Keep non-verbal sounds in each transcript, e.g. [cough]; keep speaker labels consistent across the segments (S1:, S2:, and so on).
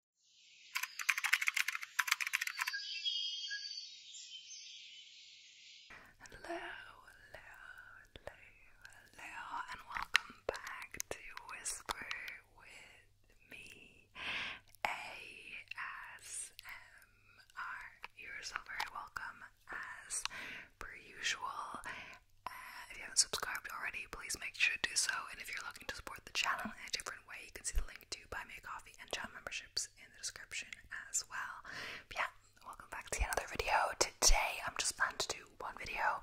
S1: Hello, hello, hello, hello, and welcome back to Whisper with me, ASMR. You're so very welcome, as per usual. Uh, if you haven't subscribed already, please make sure to do so. And if you're looking to support the channel in different way. You can see the link to Buy Me a Coffee and chat memberships in the description as well. yeah, welcome back to another video. Today I'm just planning to do one video.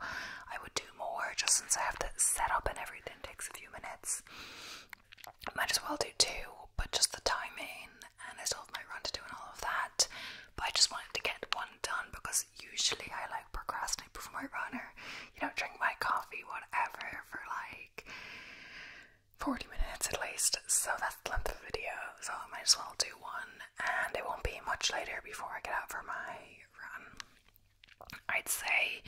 S1: I would do more just since I have to set up and everything takes a few minutes. Might as well do two, but just the timing and I still have my run to do and all of that. But I just wanted to get one done because usually I like procrastinate before my runner. You know, drink my coffee, whatever, for like 40 minutes at least, so that's the length of the video, so I might as well do one, and it won't be much later before I get out for my run. I'd say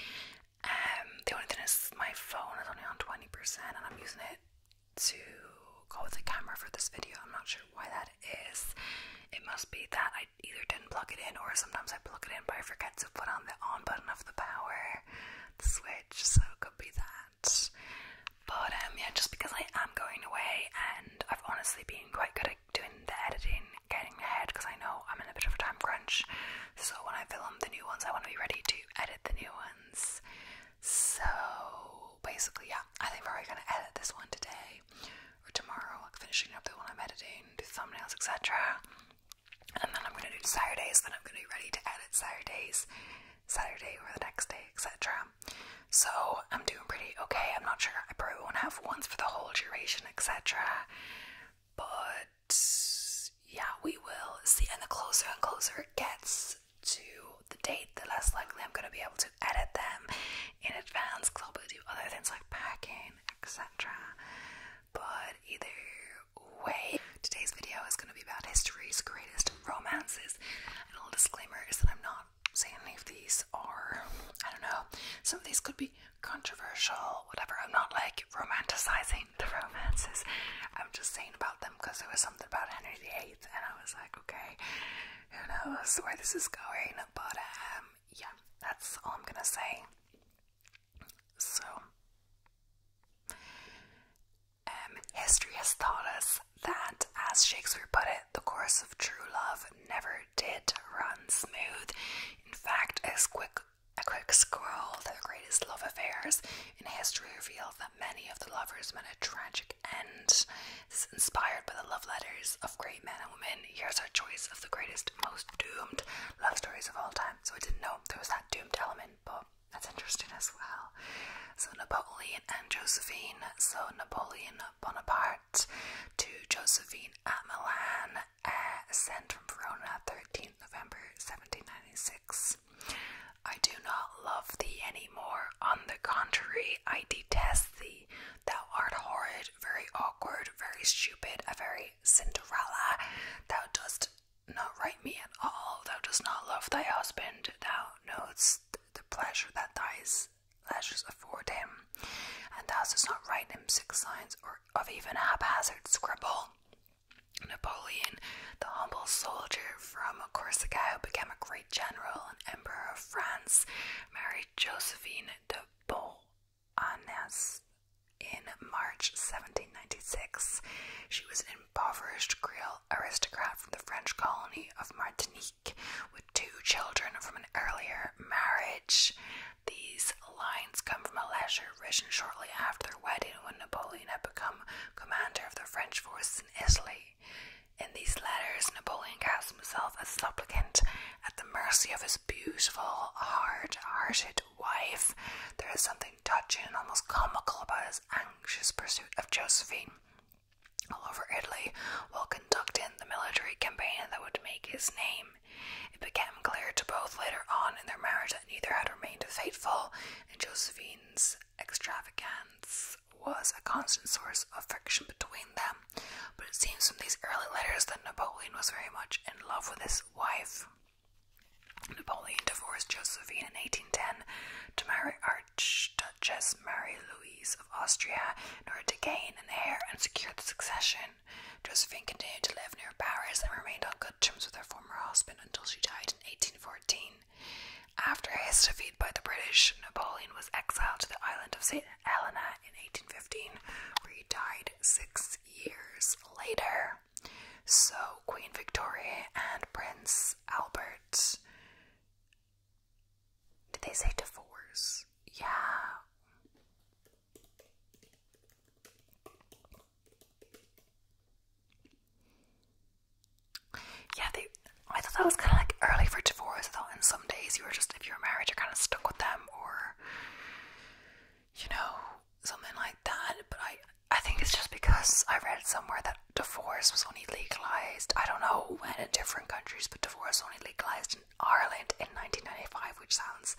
S1: um, the only thing is my phone is only on 20% and I'm using it to go with the camera for this video. I'm not sure why that is. It must be that I either didn't plug it in or sometimes I plug it in but I forget to put on the on button of the power switch, so it could be that. But um yeah, just because I am going away and I've honestly been quite good at doing the editing, getting ahead because I know I'm in a bit of a time crunch. So when I film the new ones I want to be ready to edit the new ones. So basically yeah, I think we're probably gonna edit this one today or tomorrow, like finishing up the one I'm editing, do thumbnails, etc and then I'm going to do Saturdays, then I'm going to be ready to edit Saturdays, Saturday or the next day, etc. So I'm doing pretty okay. I'm not sure. I probably won't have ones for the whole duration, etc. But yeah, we will see. And the closer and closer it gets to the date, the less likely I'm going to be able to edit them in advance because I'll be doing other things like packing, etc. But either way, today's video is going to be about history's greatest romances. And a little disclaimer is that I'm not saying any of these are, I don't know, some of these could be controversial, whatever. I'm not like romanticizing the romances. I'm just saying about them because there was something about Henry VIII, and I was like, okay, who knows where this is going? But um, yeah, that's all I'm gonna say. So, um, history has taught us that, as Shakespeare put it, the course of true love never did run smooth. In fact, as quick a quick scroll, the greatest love affairs in history reveal that many of the lovers met a tragic end. inspired by the love letters of great men and women. Here's our choice of the greatest, most doomed love stories of all time so I didn't know there was that doomed element, but that's interesting as well. So, Napoleon and Josephine. So, Napoleon Bonaparte to Josephine at Milan, uh, sent from Verona, 13th November 1796. I do not love thee any more. On the contrary, I detest thee. Thou art horrid very awkward, very stupid, a very Cinderella. Thou dost not write me at all. Thou dost not love thy husband. Thou knowest the pleasure that thy pleasures afford him, and thou dost not write him six lines or of even haphazard scribble. Napoleon, the humble soldier from Corsica, who became a great general and emperor of France, married Josephine de Beau. Annes in March 1796. She was an impoverished Creole aristocrat from the French colony of Martinique with two children from an earlier marriage. These lines come from a letter written shortly after their wedding when Napoleon had become commander of the French forces in Italy. In these letters, Napoleon casts himself as supplicant at the mercy of his beautiful, hard hearted wife. There is something touching and almost comical about his anxious pursuit of Josephine all over Italy while conducting the military campaign that would make his name. It became clear to both later on in their marriage that neither had remained faithful, and Josephine's extravagance was a constant source of friction between them. But it seems from these early letters that Napoleon was very much in love with his wife. Napoleon divorced Josephine in 1810 to marry Archduchess Marie Louise of Austria in order to gain an heir and secure the succession. Josephine continued to live near Paris and remained on good terms with her former husband until she died in 1814. After his defeat by the British, Napoleon was exiled to the island of St. Helena in 1815, where he died six years later. So, Queen Victoria and Prince Albert. Did they say divorce? Yeah. Yeah, I thought that was kind of like early for divorce. I thought in some days you were just, if you were married, you're kind of stuck with them, or you know, something like that. But I, I think it's just because I read somewhere that divorce was only legalized. I don't know when in different countries, but divorce was only legalized in Ireland in 1995, which sounds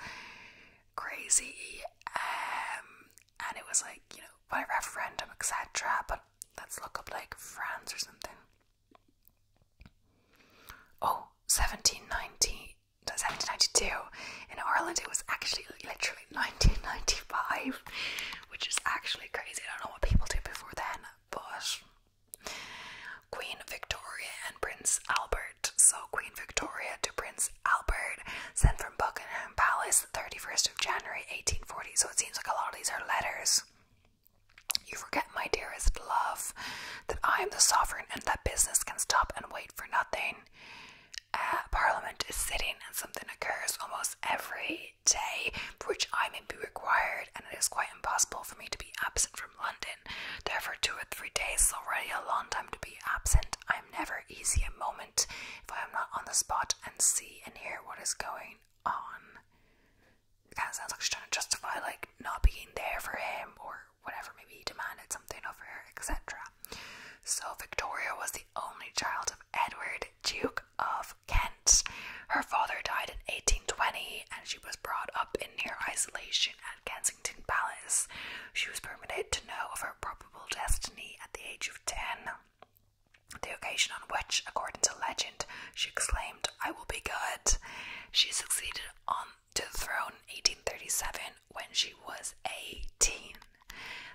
S1: crazy. Um, and it was like you know by referendum, etc. But let's look up like France or something. Oh, 1790 1792. In Ireland, it was actually literally 1995, which is actually crazy. I don't know what people did before then, but Queen Victoria and Prince Albert. So, Queen Victoria to Prince Albert, sent from Buckingham Palace, the 31st of January 1840. So, it seems like a lot of these are letters. You forget, my dearest love, that I am the sovereign and that business can stop and wait for nothing. Uh, Parliament is sitting and something occurs almost every day for which I may be required, and it is quite impossible for me to be absent from London. Therefore, two or three days is already a long time to be absent. I am never easy a moment if I am not on the spot and see and hear what is going on. It kind of sounds like she's trying to justify like not being there for him or whatever, maybe he demanded something of her, etc. So Victoria was the only child of Edward, Duke of Kent. Her father died in 1820 and she was brought up in near isolation at Kensington Palace. She was permitted to know of her probable destiny at the age of 10. The occasion on which, according to legend, she exclaimed, I will be good. She succeeded on to the throne in 1837 when she was 18.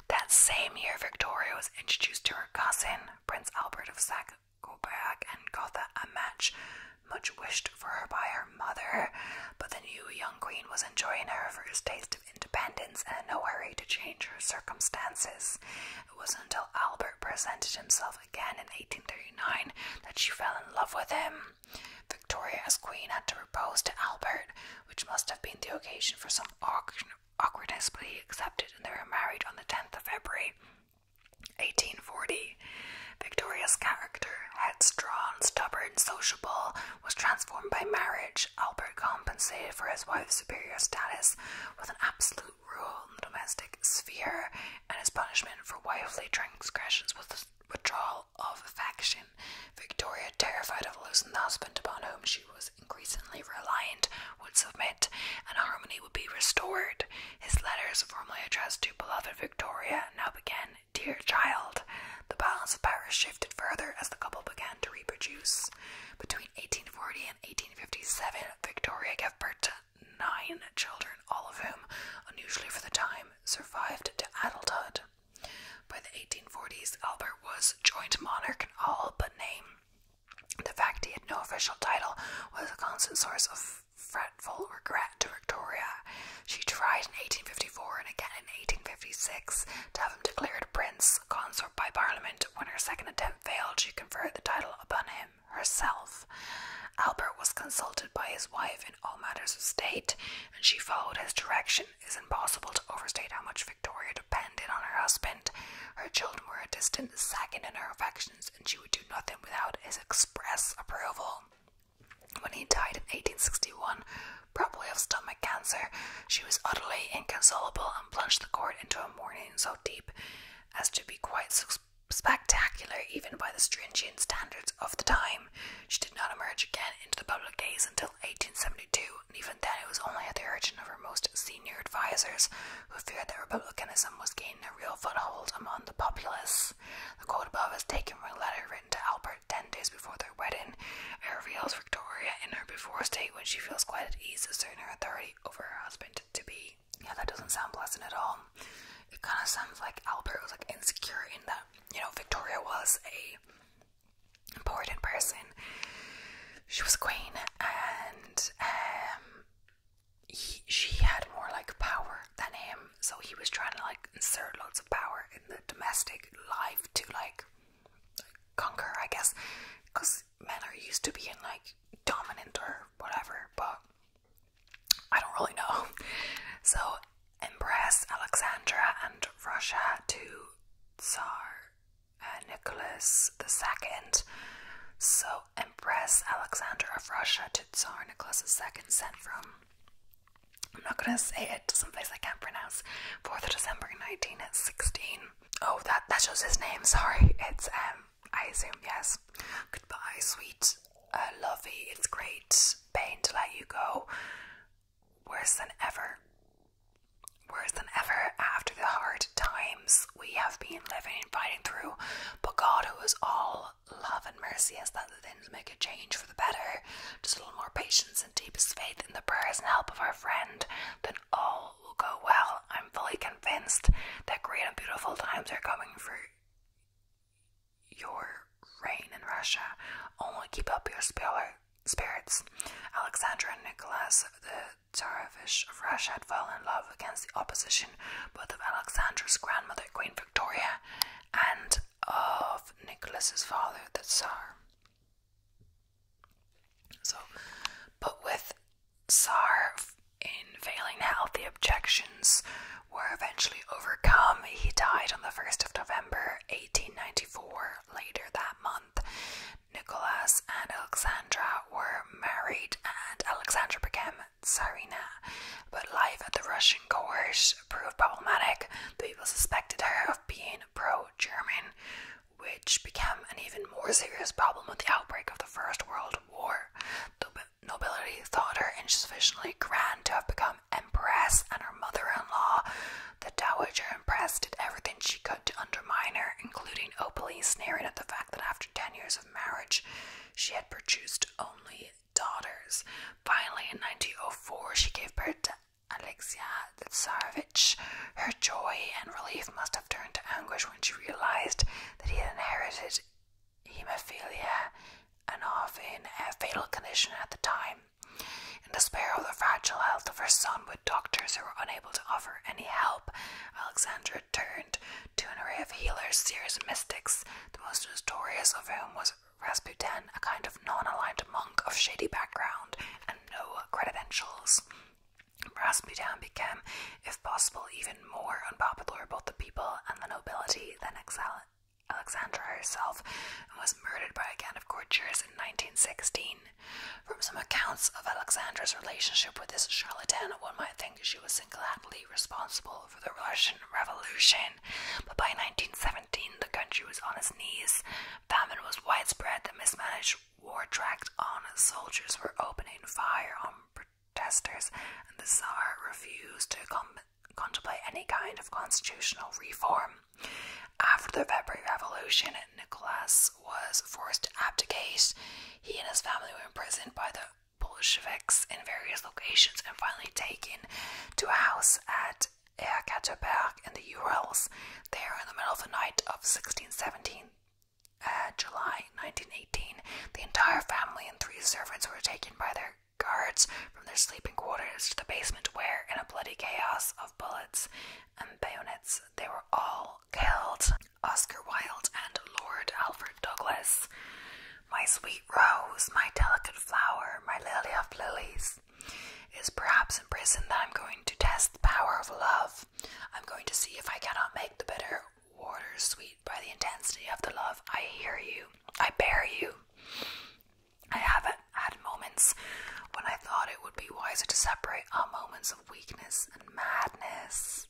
S1: That same year, Victoria was introduced to her cousin, Prince Albert of Saxe Coburg, and Gotha, a match much wished for her by her mother. But the new young queen was enjoying her first taste of independence and in no hurry to change her circumstances. It wasn't until Albert presented himself again in 1839 that she fell in love with him. Victoria, as queen, had to propose to Albert, which must have been the occasion for some awkwardness, but he accepted, and they were married on the 10th of February, 1840. Victoria's character, headstrong, stubborn, sociable, was transformed by marriage. Albert compensated for his wife's superior status with an absolute rule in the domestic sphere, and his punishment for wifely transgressions was withdrawal of affection. Victoria, terrified of losing the husband upon whom she was increasingly reliant, would submit, and harmony would be restored. His letters, formerly addressed to beloved Victoria, now began, Dear Child. The balance of power shifted further as the couple began to reproduce. Between 1840 and 1857, Victoria gave birth to nine children, all of whom, unusually for the time, survived to adulthood. By the 1840s, Albert was joint monarch in all but name. The fact he had no official title was a constant source of fretful regret to Victoria. She tried in 1854 and again in 1856 to have him declared prince consort by Parliament. When her second attempt failed, she conferred the title upon him herself. Albert was consulted by his wife in all matters of state and she followed his direction. It is impossible to overstate how much Victoria depended on her husband. Her children were a distant second in her affections, and she would do nothing without his express approval. When he died in 1861, probably of stomach cancer, she was utterly inconsolable and plunged the court into a mourning so deep as to be quite spectacular even by the stringent standards of the time. She did not emerge again into the public gaze until 1872, and even then it was only at the urging of her most senior advisers, who feared that republicanism was gaining a real foothold among the populace. The quote above is taken from a letter written to Albert ten days before their wedding. It reveals Victoria in her before state when she feels quite at ease asserting her authority over her husband to be. Yeah, that doesn't sound pleasant at all. It kind of sounds like Albert was like insecure in that you know, Victoria was a important person. She was queen, and um, he, she had more like power than him. So he was trying to like insert lots of power in the domestic life to like conquer, I guess, because men are used to being like dominant or whatever. But I don't really know. [laughs] So Empress Alexandra and Russia to Tsar uh, Nicholas II. So, Empress Alexandra of Russia to Tsar Nicholas II sent from, I'm not going to say it, to someplace I can't pronounce, 4th of December 1916. Oh, that, that shows his name, sorry. It's, um, I assume, yes. Goodbye, sweet uh, lovey, it's great pain to let you go. Worse than ever. Worse than ever after the hard times we have been living and fighting through. But God, who is all love and mercy, has let the things make a change for the better. Just a little more patience and deepest faith in the prayers and help of our friend, then all will go well. I'm fully convinced that great and beautiful times are coming through your reign in Russia. Only keep up your spirits. Alexander and Nicholas, the Tsarevich of Russia, had fallen in love against the opposition both of Alexander's grandmother, Queen Victoria, and of Nicholas's father, the Tsar. So, but with Tsar in failing healthy objections were eventually overcome. He died on the 1st of November 1894. Later that month, Nicholas and Alexandra were married, and Alexandra became Tsarina. But life at the Russian court proved problematic. The people suspected her of being pro German, which became an even more serious problem with the outbreak of the First World War. The nobility thought her insufficiently grand to have become Empress um, and her mother in law, the Dowager Empress, did everything she could to undermine her, including openly sneering at the fact that after 10 years of marriage, she had produced only daughters. Finally, in 1904, she gave birth to Alexia Tsarevich. Her joy and relief must have turned to anguish when she realized that he had inherited hemophilia and of in a fatal condition at the time. In despair of the fragile health of her son, with doctors who were unable to offer any help, Alexandra turned to an array of healers, seers, mystics, the most notorious of whom was Rasputin, a kind of non aligned monk of shady background and no credentials. Rasputin became, if possible, even more unpopular with both the people and the nobility than Alexandra herself, was murdered by a gang of courtiers in 1916. From some accounts of Alexandra's relationship with this charlatan, one might think she was single-handedly responsible for the Russian Revolution, but by 1917 the country was on its knees, famine was widespread, the mismanaged war dragged on, soldiers were opening fire on protesters, and the Tsar refused to com contemplate any kind of constitutional reform. After the February Revolution, Nicholas was forced to abdicate. He and his family were imprisoned by the Bolsheviks in various locations and finally taken to a house at Ekaterberg in the Urals. There, in the middle of the night of 1617, uh, July 1918, the entire family and three servants were taken by their guards from their sleeping quarters to the basement where, in a bloody chaos of bullets and bayonets, they were all killed. Oscar Wilde and Lord Alfred Douglas. My sweet rose, my delicate flower, my lily of lilies. is perhaps in prison that I'm going to test the power of love. I'm going to see if I cannot make the bitter water sweet by the intensity of the love. I hear you. I bear you. I haven't had moments when I thought it would be wiser to separate our moments of weakness and madness.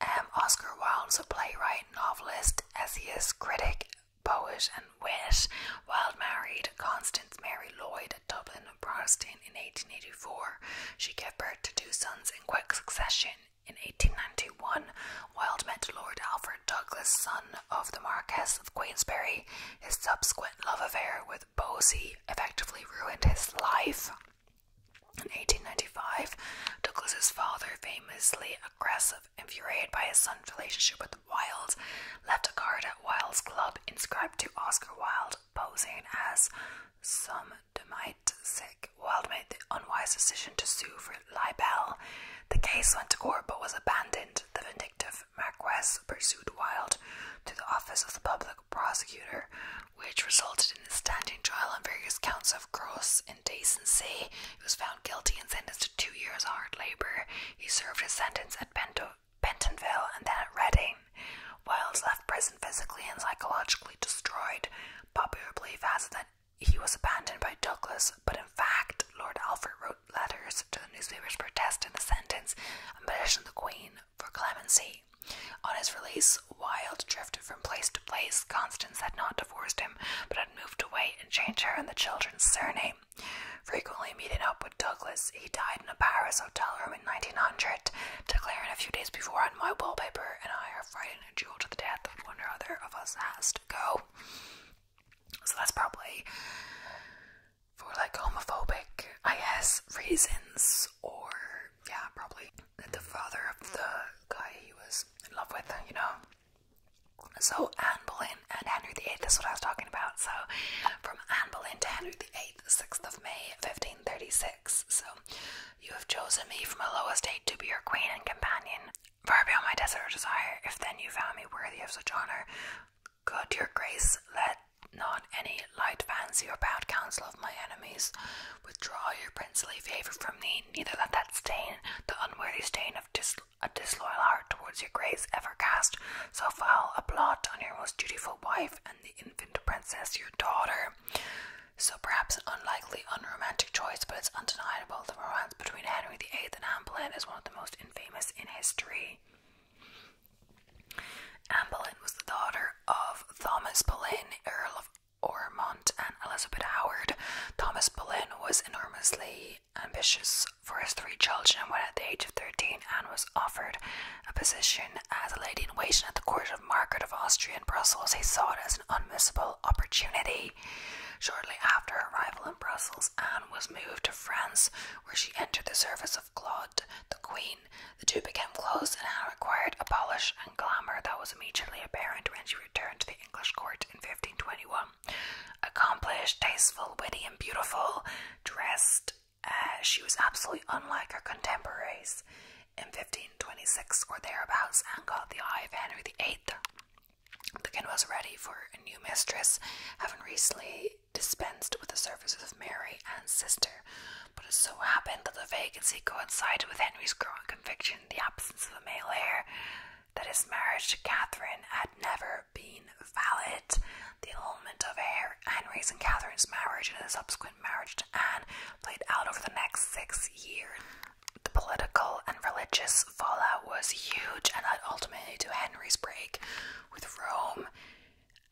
S1: Um, Oscar Wilde's a playwright, novelist, essayist, critic, poet, and wit. Wilde married Constance Mary Lloyd at Dublin, Protestant, in 1884. She gave birth to two sons in quick succession. In 1891, Wilde met Lord Alfred Douglas, son of the Marquess of Queensberry, his subsequent love affair with Bosie effectively ruined his life. In 1895, Douglas's father, famously aggressive, infuriated by his son's relationship with Wilde, left a card at Wilde's club inscribed to Oscar Wilde, posing as some might sick. Wilde made the unwise decision to sue for Libel. The case went to court but was abandoned. The vindictive Marquess pursued Wild to the office of the public prosecutor, which resulted in a standing trial on various counts of gross indecency. He was found guilty and sentenced to two years hard labor. He served his sentence at Bentonville and then at Reading. Wilde left prison physically and psychologically destroyed. Popular belief has it that he was abandoned by Douglas, but in fact, Lord Alfred wrote letters to the newspapers protesting the sentence and petitioned the Queen for clemency. On his release, Wilde drifted from place to place. Constance had not divorced him, but had moved away and changed her and the children's surname. Frequently meeting up with Douglas, he died in a Paris hotel room in 1900, declaring a few days before on my wallpaper, and I are fighting a duel to the death one or other of us has to go. So that's probably for like homophobic, I guess, reasons, or yeah, probably the father of the guy he was in love with, you know. So Anne Boleyn and Henry VIII, that's what I was talking about. So from Anne Boleyn to Henry VIII, 6th of May, 1536. So you have chosen me from a low estate to be your queen and companion. Far beyond my desert or desire, if then you found me worthy of such honour, could your grace, let not any light fancy or bad counsel of my enemies withdraw your princely favour from me, neither let that stain, the unworthy stain of a disloyal heart towards your grace, ever cast so foul a blot on your most dutiful wife and the infant princess, your daughter. So perhaps an unlikely, unromantic choice, but it's undeniable the romance between Henry VIII and Anne Boleyn is one of the most infamous in history. Anne Boleyn was the daughter of Thomas Boleyn, Earl of Ormond, and Elizabeth Howard. Thomas Boleyn was enormously ambitious for his three children and when, at the age of 13, Anne was offered a position as a lady in waiting at the court of Margaret of Austria in Brussels. He saw it as an unmissable opportunity shortly after her arrival in Brussels. Anne was moved to France, where she entered the service of Claude, the Queen. The two became close, and Anne acquired a polish and glamour that was immediately apparent when she returned to the English court in 1521. Accomplished, tasteful, witty, and beautiful, dressed, uh, she was absolutely unlike her contemporaries. In 1526 or thereabouts, Anne caught the eye of Henry VIII, the Lincoln was ready for a new mistress, having recently dispensed with the services of Mary and sister. But it so happened that the vacancy coincided with Henry's growing conviction in the absence of a male heir, that his marriage to Catherine had never been valid. The annulment of Henry's and Catherine's marriage and the subsequent marriage to Anne played out over the next six years the political and religious fallout was huge and led ultimately to Henry's break with Rome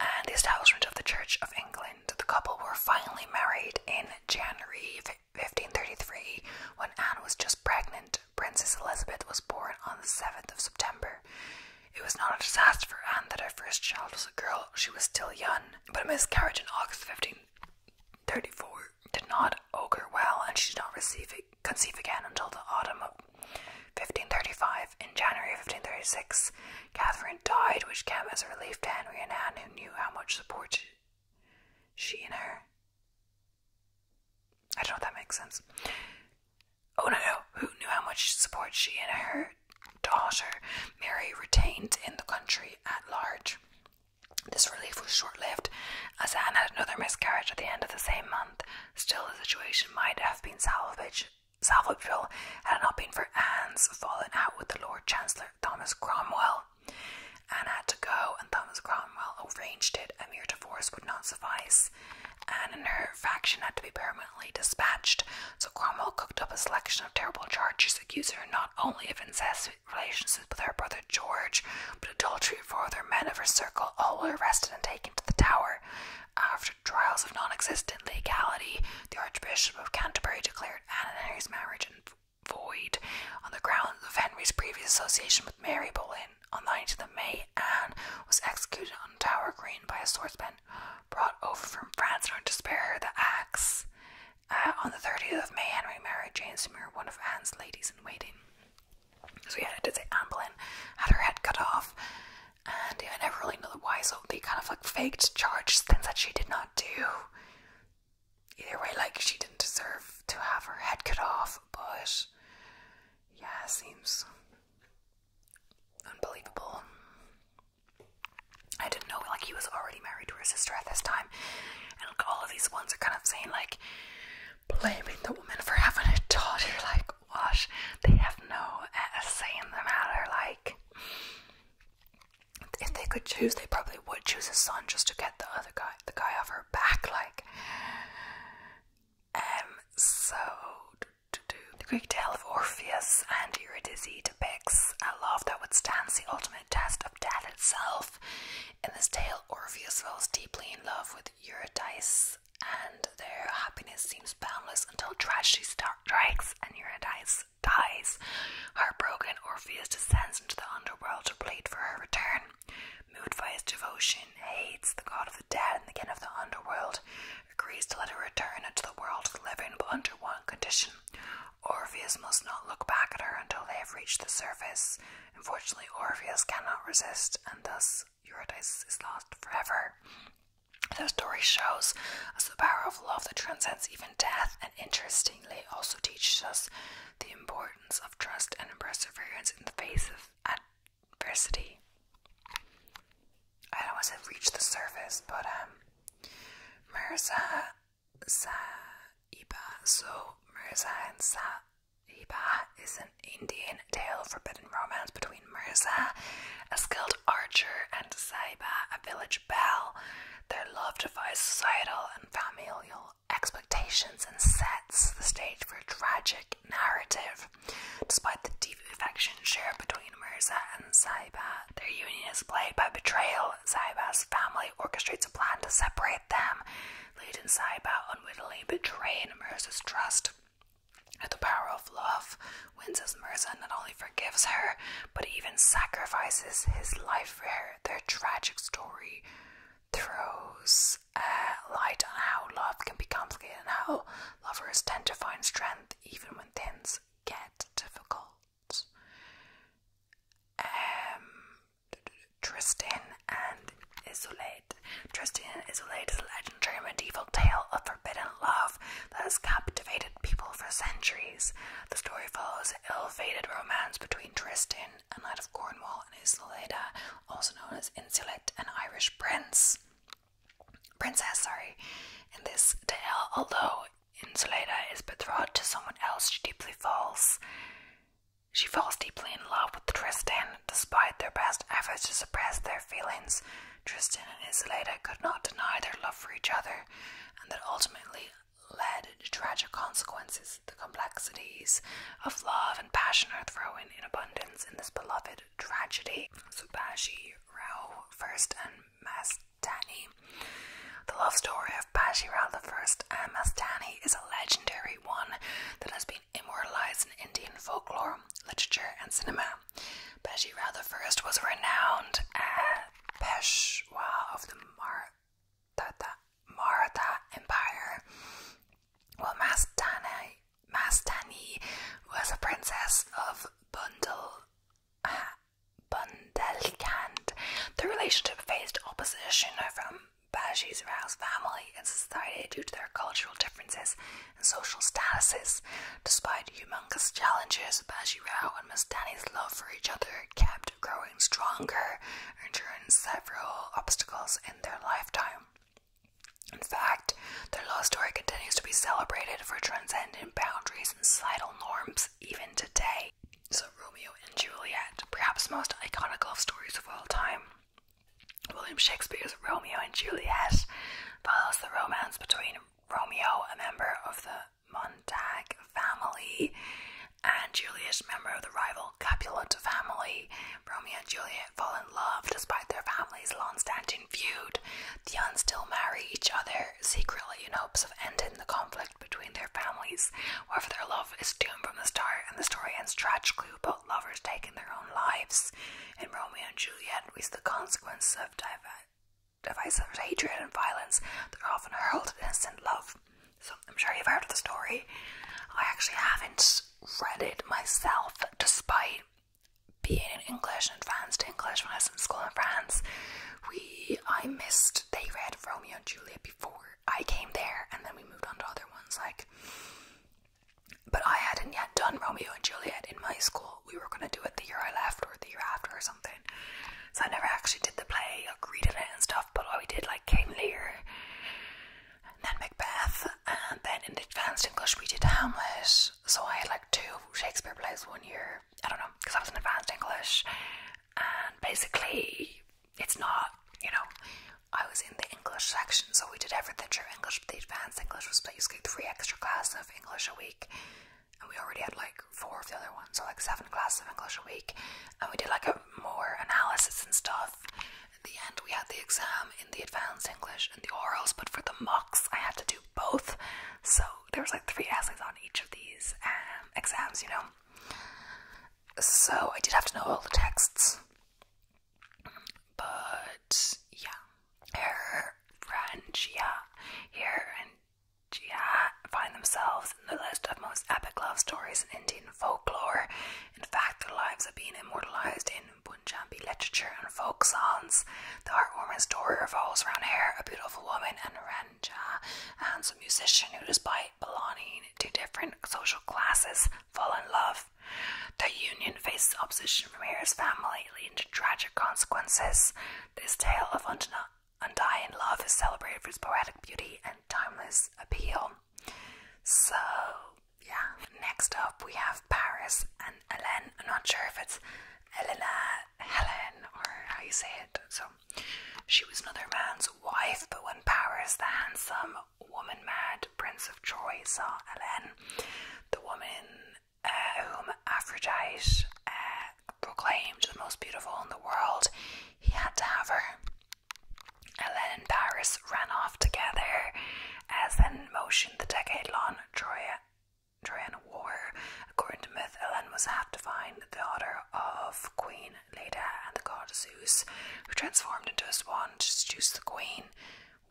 S1: and the establishment of the Church of England. The couple were finally married in January 1533 when Anne was just pregnant. Princess Elizabeth was born on the 7th of September. It was not a disaster for Anne that her first child was a girl, she was still young, but a miscarriage in August 15 34 did not augur well and she did not receive conceive again until the autumn of 1535. In January 1536, Catherine died, which came as a relief to Henry and Anne, who knew how much support she and her. I don't know if that makes sense. Oh no, no, who knew how much support she and her daughter Mary retained in the country at large. This relief was short lived, as Anne had another miscarriage at the end of the same month. Still, the situation might have been salvaged, salvageable had it not been for Anne's falling out with the Lord Chancellor Thomas Cromwell. Anne had to go, and Thomas Cromwell arranged it. A mere divorce would not suffice. Anne and her faction had to be permanently dispatched, so Cromwell cooked up a selection of terrible charges to accuse her not only of incestuous relations with her brother George, but adultery of four other men of her circle, all were arrested and taken to the Tower. After trials of non existent legality, the Archbishop of Canterbury declared Anne and Henry's marriage void on the grounds of Henry's previous association with Mary Boleyn. On the 19th of May, Anne was executed on Tower Green by a swordsman brought over from France in order to spare her the axe. Uh, on the 30th of May, Henry married Jane Seymour, one of Anne's ladies in waiting. So yeah, I did say Anne had her head cut off, and I never really know why. So they kind of like faked charged things that she did not do. Either way, like she didn't deserve to have her head cut off, but yeah, it seems unbelievable. I didn't know like he was already married to her sister at this time, and like all of these ones are kind of saying like blaming the woman for having a daughter. Like, what? They have no say in the matter. Like, if they could choose, they probably would choose a son just to get the other guy, the guy off her back. Like, um, so the Greek tale of Orpheus and Eurydice depicts a love that would stand the ultimate test of death itself. In this tale, Orpheus falls deeply in love with Eurydice, and their happiness seems boundless until tragedy strikes and Eurydice dies. Heartbroken, Orpheus descends into the underworld to plead for her return. Moved by his devotion, hates the god of the dead and the king of the underworld, agrees to let her return into the world living, but under one condition. Orpheus must not look back at her until they have reached the surface. Unfortunately, Orpheus cannot resist, and thus Eurydice is lost forever. The story shows us the power of love that transcends even death, and interestingly, also teaches us the importance of trust and perseverance in the face of adversity. I don't the surface, but um, Saiba, so Mirza and Sa Hiba is an Indian tale of forbidden romance between Mirza, a skilled archer, and Saiba, a village belle. Their love defies societal and familial expectations and sets the stage for a tragic narrative. Despite the deep affection shared between Mirza and Saiba, their union is plagued by betrayal. Saiba's family orchestrates a plan to separate them. Lead and Saiba unwittingly betrayed Mirza's trust. At the power of love, Winces Mirza not only forgives her, but even sacrifices his life for her. Their tragic story throws uh, light on how love can be complicated and how lovers tend to find strength even when things get difficult. Um, Tristan and Isolde. Tristan and Isolde is a legendary medieval tale of forbidden love that has captivated people for centuries. The story follows an ill-fated romance between Tristan, a knight of Cornwall, and Isolde, also known as Insulet, an Irish prince. Princess, sorry. In this tale, although Insulata is betrothed to someone else, she deeply falls she falls deeply in love with Tristan, despite their best efforts to suppress their feelings. Tristan and Isolde could not deny their love for each other, and that ultimately led to tragic consequences. The complexities of love and passion are thrown in abundance in this beloved tragedy. Subashi Rao I and Mastani. The love story of Rao I and Mastani is a legendary one that has been immortalized in Indian folklore, literature, and cinema. the First was a renowned Peshwa of the Maratha, Empire, while Mastani, was a princess of Bundelkhand. The relationship faced opposition from Banshees arouse family and society due to their cultural differences and social statuses. Despite humongous challenges, Banshee Rao and Mastani's love for each other kept growing stronger, enduring several obstacles in their lifetime. In fact, their love story continues to be celebrated for transcending boundaries and societal norms even today. So, Romeo and Juliet, perhaps most iconic love stories of all time, William Shakespeare's Romeo and Juliet follows the romance between Romeo, a member of the Montague family, and Juliet, a member of the rival Capulet family. Romeo and Juliet fall in love despite their families' long standing feud. The Huns still marry each other secretly in hopes of ending the conflict between their families. However, their love is doomed from the start, and the story ends tragically about lovers taking their own lives. In Romeo and Juliet, we see the consequences of div divisive hatred and violence that often hurled at innocent love. So I'm sure you've heard of the story. I actually haven't read it myself, despite being in English and advanced English when I was in school in France. We I missed they read Romeo and Juliet before I came there and then we moved on to other ones like but I hadn't yet done Romeo and Juliet in my school. We were gonna do it the year I left or the year after or something. So I never actually did the play, like reading it and stuff, but all we did like King Lear and then Macbeth and then in advanced English we did Hamlet. So I had like two Shakespeare plays one year. I don't know, because I was in advanced English and basically it's not, you know. I was in the English section, so we did everything through English, but the advanced English was basically three extra classes of English a week. And we already had like four of the other ones, so like seven classes of English a week. And we did like a more analysis and stuff. At the end, we had the exam in the advanced English and the orals, but for the mocks, I had to do both. So there was like three essays on each of these um, exams, you know. So I did have to know all the texts. But yeah, her and Gia here and Gia find themselves in the list of most epic love stories in Indian folklore. In fact, their lives have been immortalized in Punjabi literature and folk songs. The heartwarming story revolves around her, a beautiful woman, and Ranjha, and some musician who, despite belonging to different social classes fall in love. The union faces opposition from Harry's family, leading to tragic consequences. This tale of undying love is celebrated for its poetic beauty and timeless appeal. So, yeah. Next up, we have Paris and Helen. i I'm not sure if it's Helena, Helen, or how you say it. So, she was another man's wife, but when Paris the Handsome woman mad, Prince of Troy, saw Helen, the woman uh, whom Aphrodite uh, proclaimed the most beautiful in the world, he had to have her. Helen and Paris ran off together as then motioned the decade long Troy, Trojan War. According to myth, Helen was half divine, the daughter of Queen queen, Leda, and the god Zeus, who transformed into a swan to seduce the queen.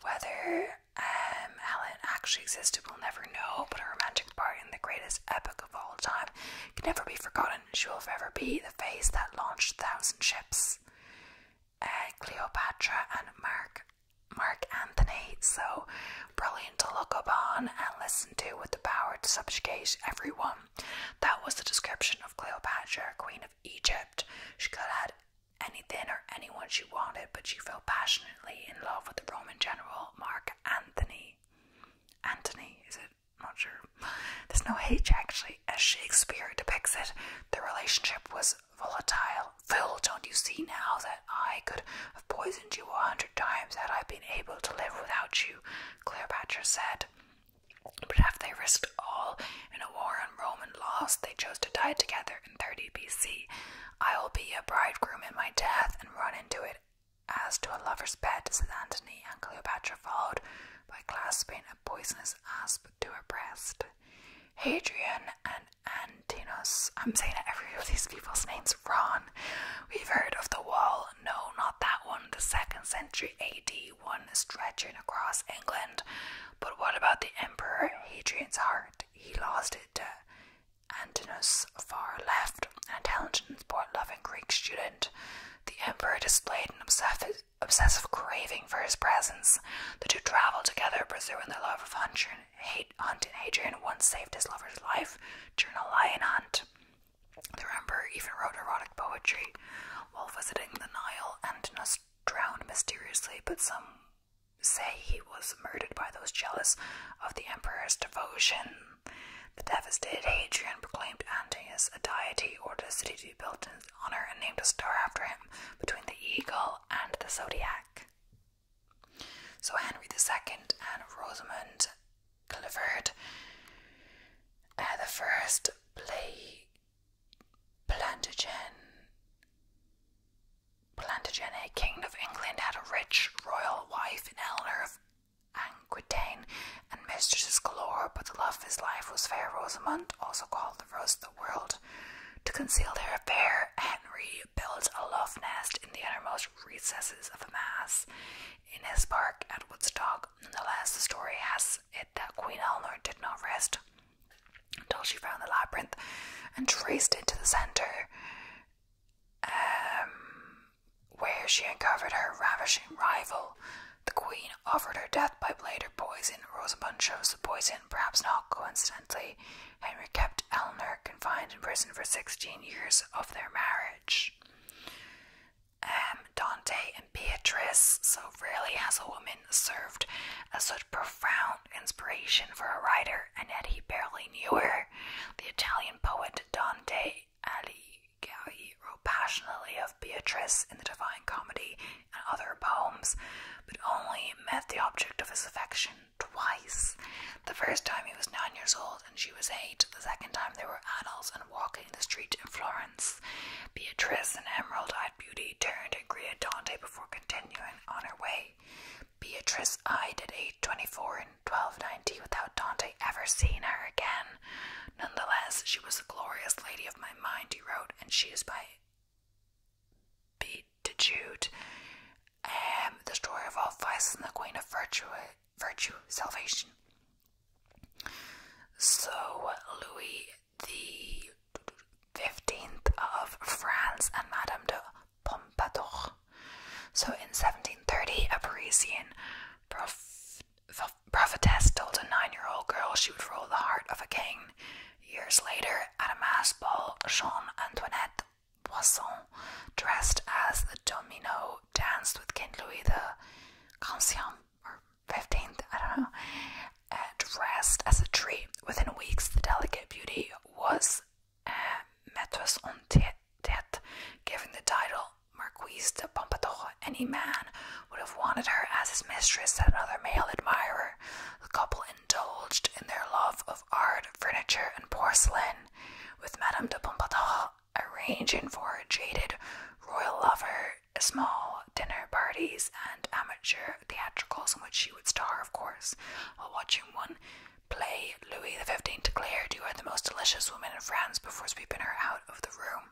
S1: Whether um, Helen actually existed, we'll never know, but her romantic part in the greatest epic of all time can never be forgotten. She will forever be the face that launched a thousand ships. Uh, Cleopatra and Mark, Mark Anthony. So brilliant to look upon and listen to with the power to subjugate everyone. That was the description of Cleopatra, Queen Egypt. She could have had anything or anyone she wanted, but she fell passionately in love with the Roman general Mark Antony. Antony, is it? not sure. There's no H actually, as Shakespeare depicts it. The relationship was volatile. Phil, don't you see now that I could have poisoned you a hundred times had I been able to live without you? Cleopatra said. But after they risked all in a war on Roman laws, they chose to die together in 30 BC. I will be a bridegroom in my death and run into it as to a lover's bed, said Antony, and Cleopatra followed by clasping a poisonous asp to her breast. Hadrian and Antinous, I'm saying every of these people's names Ron, We've heard of the wall, no, not that one, the second century AD one stretching across England. But what about the Emperor Hadrian's heart? He lost it to Antinous, far left, an intelligent, sport loving Greek student. The Emperor displayed an obsessive, craving for his presence. The two traveled together, pursuing their love of hunting. Hunt and Hadrian once saved his lover's life during a lion hunt. The emperor even wrote erotic poetry while visiting the Nile and drowned mysteriously, but some say he was murdered by those jealous of the emperor's devotion. The devastated Hadrian proclaimed Antaeus a deity ordered a city to be built in his honor and named a star after him between the eagle and the zodiac. So Henry II and Rosamund Clifford, uh, the first plague. Plantagen, Plantagenet, King of England, had a rich royal wife in Eleanor of Aquitaine and mistresses galore, but the love of his life was fair Rosamond, also called the Rose of the World. To conceal their affair, Henry built a love nest in the innermost recesses of a mass in his park at Woodstock. Nonetheless, the story has it that Queen Eleanor did not rest until she found the labyrinth and traced it to the center, um, where she uncovered her ravishing rival. The Queen offered her death by blade or poison. Rosamund chose the poison, perhaps not coincidentally. Henry kept Eleanor confined in prison for 16 years of their marriage um, Dante and Beatrice. So, really, has a woman, served as such profound inspiration for a writer, and yet he barely knew her. The Italian poet Dante Alighieri wrote passionately of Beatrice in the Divine Comedy and other poems, but only met the object of his affection twice. The first time he was nine years old and she was eight, the second time they were adults and walking the street in Florence. Beatrice, an emerald eyed beauty, turned and greeted Dante before continuing on her way. Beatrice I did 824 and 1290 without Dante ever seeing her again. Nonetheless, she was a glorious lady of my mind, he wrote, and she is by beatitude, um, the story of all vices and the queen of virtue, virtue salvation. So Louis the 15th of France and Madame de Pompadour. So in 1730, a Parisian prophetess told a nine year old girl she would rule the heart of a king. Years later, at a mass ball, Jean Antoinette Poisson, dressed as the domino, danced with King Louis the Conscient or 15th, I don't know, and rest as a tree. Within weeks, the delicate beauty was uh, eh, metros en tête, given the title Marquise de Pompadour. Any man would have wanted her as his mistress and another male admirer. The couple indulged in their love of art, furniture, and porcelain, with Madame de Pompadour arranging for a jaded royal lover small dinner parties and amateur theatricals in which she would star, of course, while watching one play Louis XV declared, You are the most delicious woman in France, before sweeping her out of the room.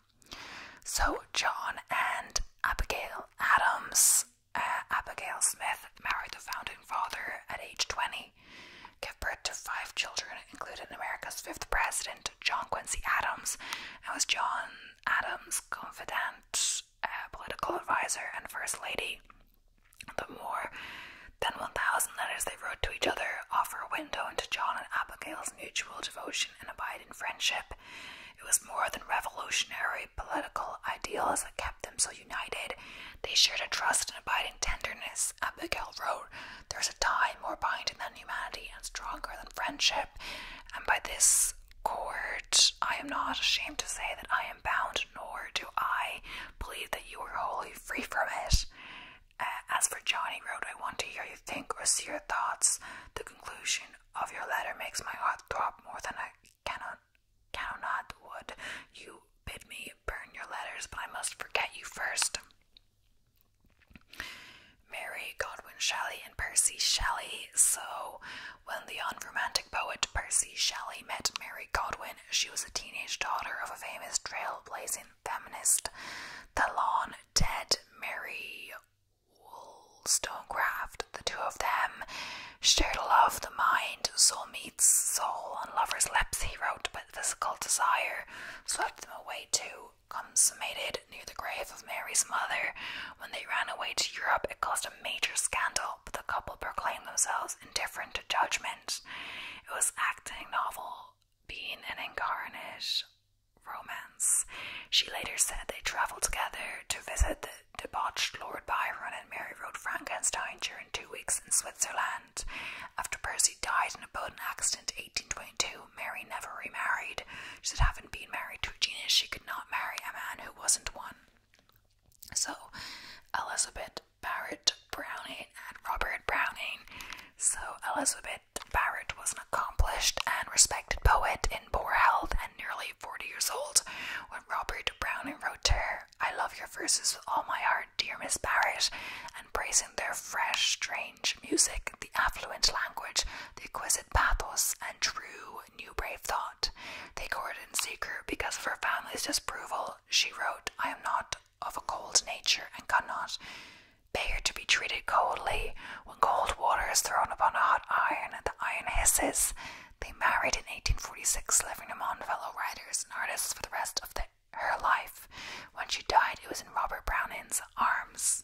S1: So, John and Abigail Adams, uh, Abigail Smith, married the founding father at age 20, gave birth to five children, including America's fifth president, John Quincy Adams, and was John Adams' confidant, uh, political advisor, and First Lady. The more than 1,000 letters they wrote to each other offer a window into John and Abigail's mutual devotion and abiding friendship. It was more than revolutionary political ideals that kept them so united. They shared a trust and abiding tenderness. Abigail wrote, There's a tie more binding than humanity and stronger than friendship. And by this court, I am not ashamed to say that I am bound, nor do I believe that you are wholly free from it. Uh, as for Johnny Road, I want to hear you think or see your thoughts. The conclusion of your letter makes my heart throb more than I cannot, cannot would. You bid me burn your letters, but I must forget you first. Mary Godwin Shelley and Percy Shelley. So, when the unromantic poet Percy Shelley met Mary Godwin, she was a teenage daughter of a famous trailblazing feminist, the long dead Mary Wollstonecraft. The two of them shared a love, the mind, soul meets soul on lovers' lips, he wrote, but physical desire swept them away too consummated near the grave of Mary's mother. When they ran away to Europe, it caused a major scandal, but the couple proclaimed themselves indifferent to judgment. It was acting novel, being an incarnate romance. She later said they travelled together to visit the debauched Lord Byron and Mary wrote Frankenstein during two weeks in Switzerland. After Percy died in a boat accident in 1822, Mary never remarried. She said, having been married to a genius, she could not marry a man who wasn't one. So, Elizabeth Barrett Browning and Robert Browning. So, Elizabeth Barrett was an accomplished and respected poet in poor health and nearly 40 years old when Robert Browning wrote to her, I love your verses with all my heart, dear Miss Barrett, and praising their fresh, strange, music, the affluent language, the exquisite pathos, and true new brave thought. They courted in secret because of her family's disapproval. She wrote, I am not of a cold nature and cannot bear to be treated coldly. When cold water is thrown upon a hot iron, the iron hisses. They married in 1846, living among fellow writers and artists for the rest of her life. When she died, it was in Robert Browning's arms.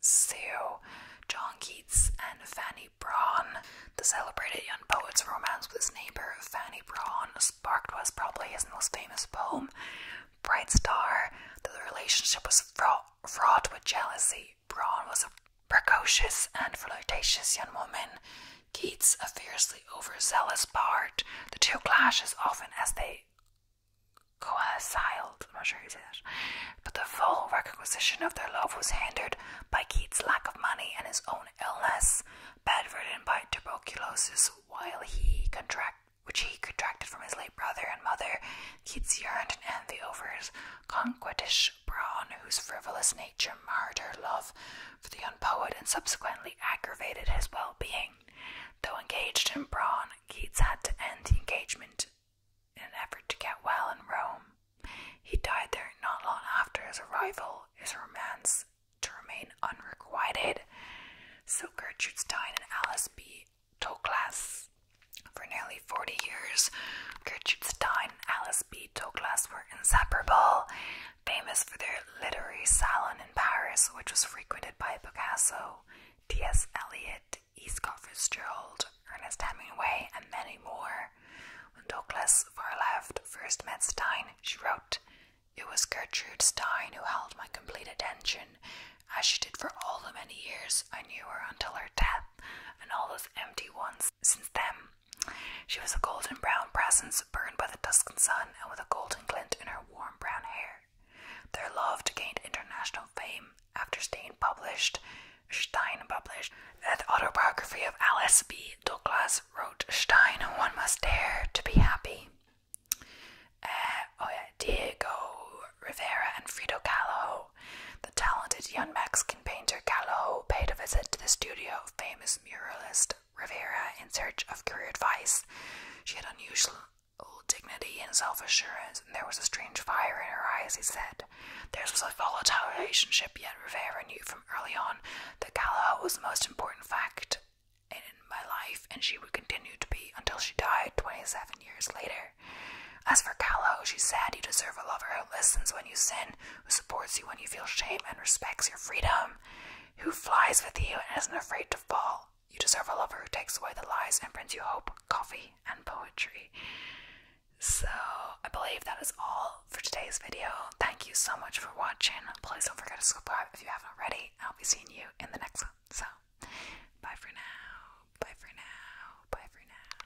S1: Sue, John Keats, and Fanny Braun. The celebrated young poet's romance with his neighbor, Fanny Braun, sparked was probably his most famous poem, Bright Star. The relationship was fraught, fraught with jealousy. Braun was a precocious and flirtatious young woman. Keats, a fiercely overzealous bard. The two clashed as often as they coalesced. I'm not sure how you But the full requisition of their love was hindered by Keats's lack of money and his own illness, bedridden by tuberculosis, while he contracted, which he contracted from his late brother and mother. Keats yearned and envy over his conquetish brawn, whose frivolous nature marred her love for the young poet and subsequently aggravated his well-being. Though engaged in brawn, Keats had to end the engagement in an effort to get well in Rome. He died there not long after his arrival, his romance to remain unrequited. So Gertrude Stein and Alice B. Toklas. For nearly 40 years, Gertrude Stein and Alice B. Toklas were inseparable, famous for their literary salon in Paris, which was frequented by Picasso, T.S. Eliot, E. Fitzgerald, Ernest Hemingway, and many more. When Douglas Fairleft first met Stein, she wrote, It was Gertrude Stein who held my complete attention, as she did for all the many years I knew her until her death, and all those empty ones since then. She was a golden brown presence burned by the dusking sun, and with a golden glint in her warm brown hair. Their love gained international fame after Stein published, Stein published that autobiography of Alice B. Douglas wrote Stein, one must dare to be happy. Uh, oh yeah, Diego Rivera and Frida Kahlo. The talented young Mexican painter Kahlo paid a visit to the studio of famous muralist Rivera in search of career advice. She had unusual old dignity and self assurance, and there was a strange fire in her eyes, he said. Theirs was a volatile relationship, yet Rivera knew from early on that Galahad was the most important fact in my life, and she would continue to be until she died 27 years later. As for Callow, she said, you deserve a lover who listens when you sin, who supports you when you feel shame and respects your freedom, who flies with you and isn't afraid to fall. You deserve a lover who takes away the lies and brings you hope, coffee, and poetry. So, I believe that is all for today's video. Thank you so much for watching. Please don't forget to subscribe if you haven't already. I'll be seeing you in the next one. So, bye for now. Bye for now. Bye for now.